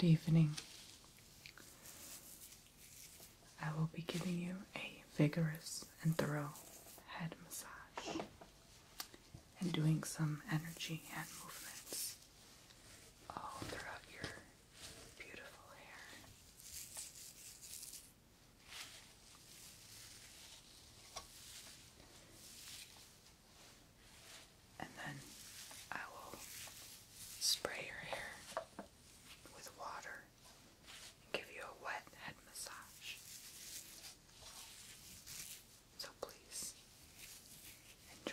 Good evening. I will be giving you a vigorous and thorough head massage and doing some energy and movements all throughout your beautiful hair. And then I will spray your hair with water and give you a wet head massage. So please enjoy.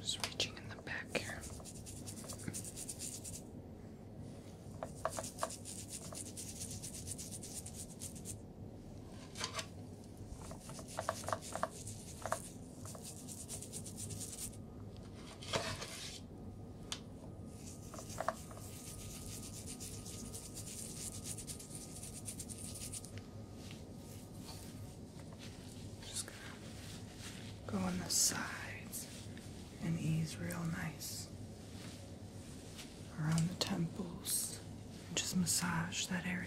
Just reaching in the back here. Just gonna go on the sides and ease real nice around the temples and just massage that area.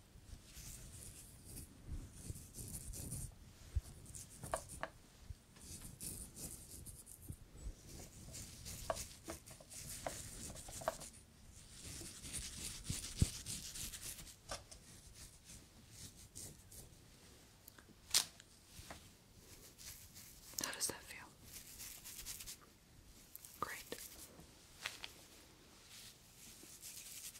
How does that feel? Great.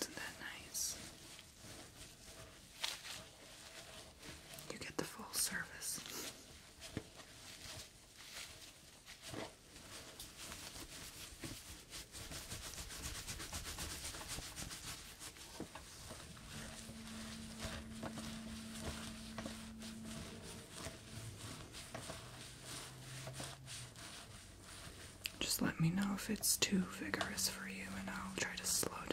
Isn't that nice? You get the full service. Just let me know if it's too vigorous for you, and I'll try to slow down.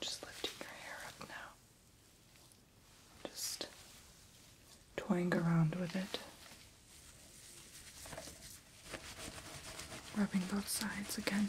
just lifting your hair up now. Just toying around with it. Rubbing both sides again.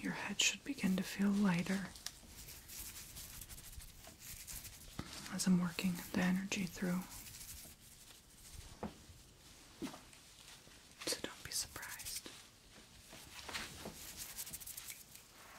Your head should begin to feel lighter as I'm working the energy through. So don't be surprised.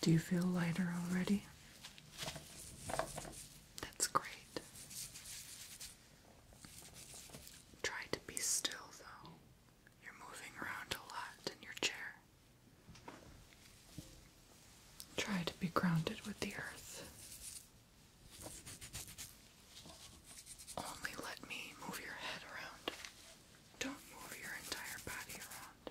Do you feel lighter already? That's great. Try to be still, though. You're moving around a lot in your chair. Try to be grounded with the earth. Only let me move your head around. Don't move your entire body around.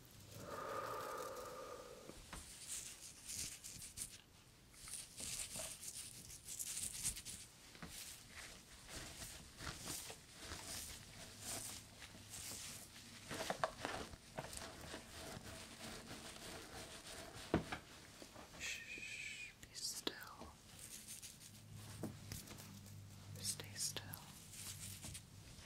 Shh, be still. Stay still.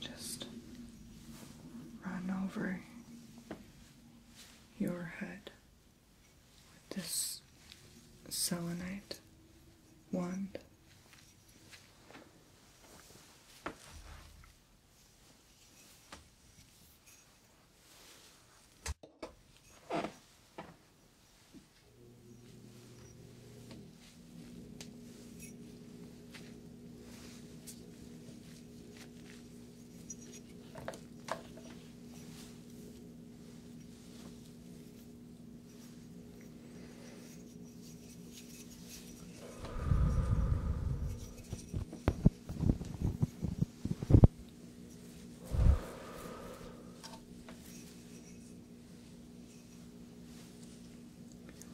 Just run over your head with this selenite wand.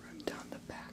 Run down the back.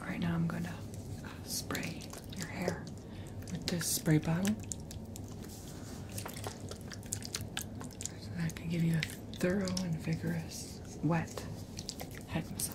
Alright, now I'm going to uh, spray your hair with this spray bottle. So that can give you a thorough and vigorous wet head massage.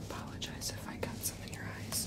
Apologize if I got some in your eyes.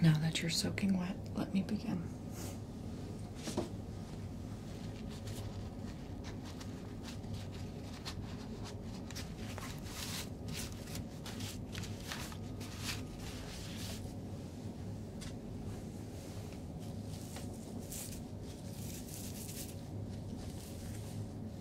Now that you're soaking wet, let me begin.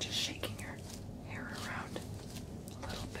Just shaking her hair around a little bit.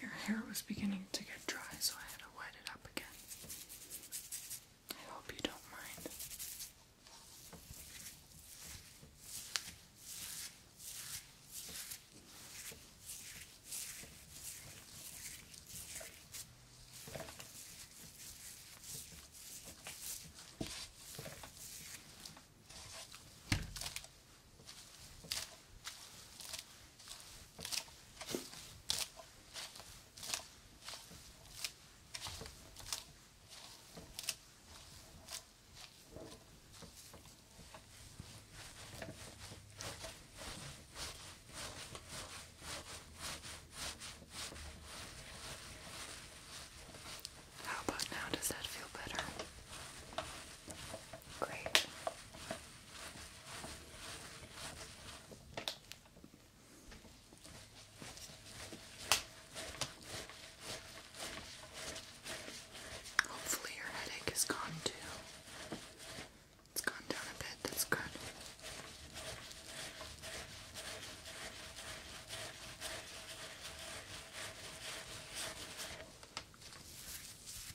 Your hair was beginning to get dry, so I had to wet it up again. I hope you don't mind. How about now? Does that feel better? Great. Hopefully, your headache is gone too. It's gone down a bit, that's good.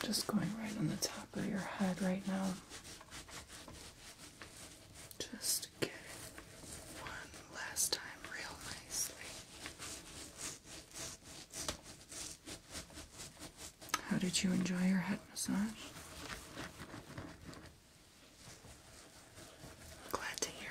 I'm just going right on the top of your head right now. Just get it one last time, real nicely. How did you enjoy your head massage? Glad to hear.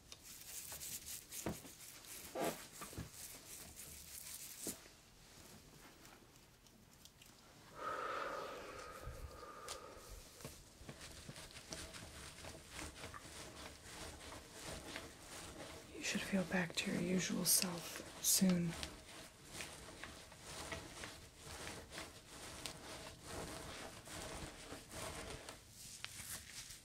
You should feel back to your usual self soon.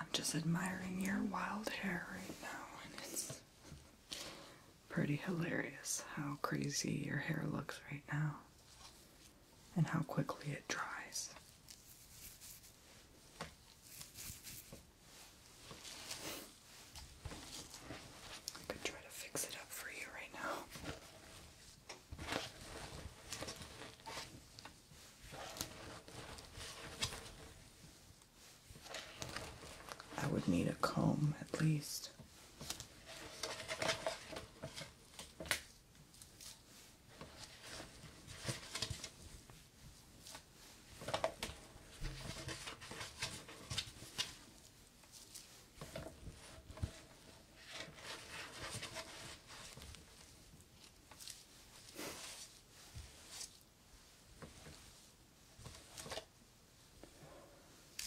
I'm just admiring your wild hair right now, and it's pretty hilarious how crazy your hair looks right now and how quickly it dries. I could try to fix it up for you right now. I would need a comb at least.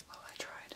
Well, I tried.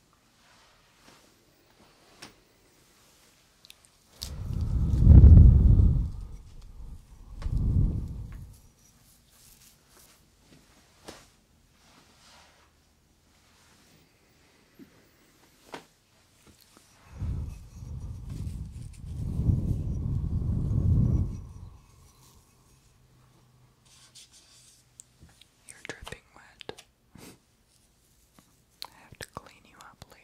You're dripping wet. I have to clean you up later.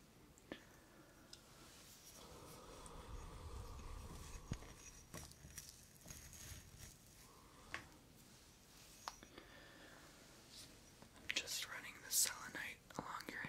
I'm just running the selenite along your hair.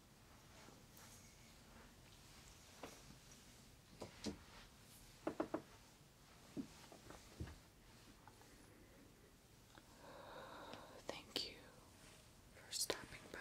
Thank you for stopping by.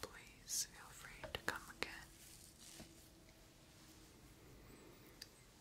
Please feel free to come again.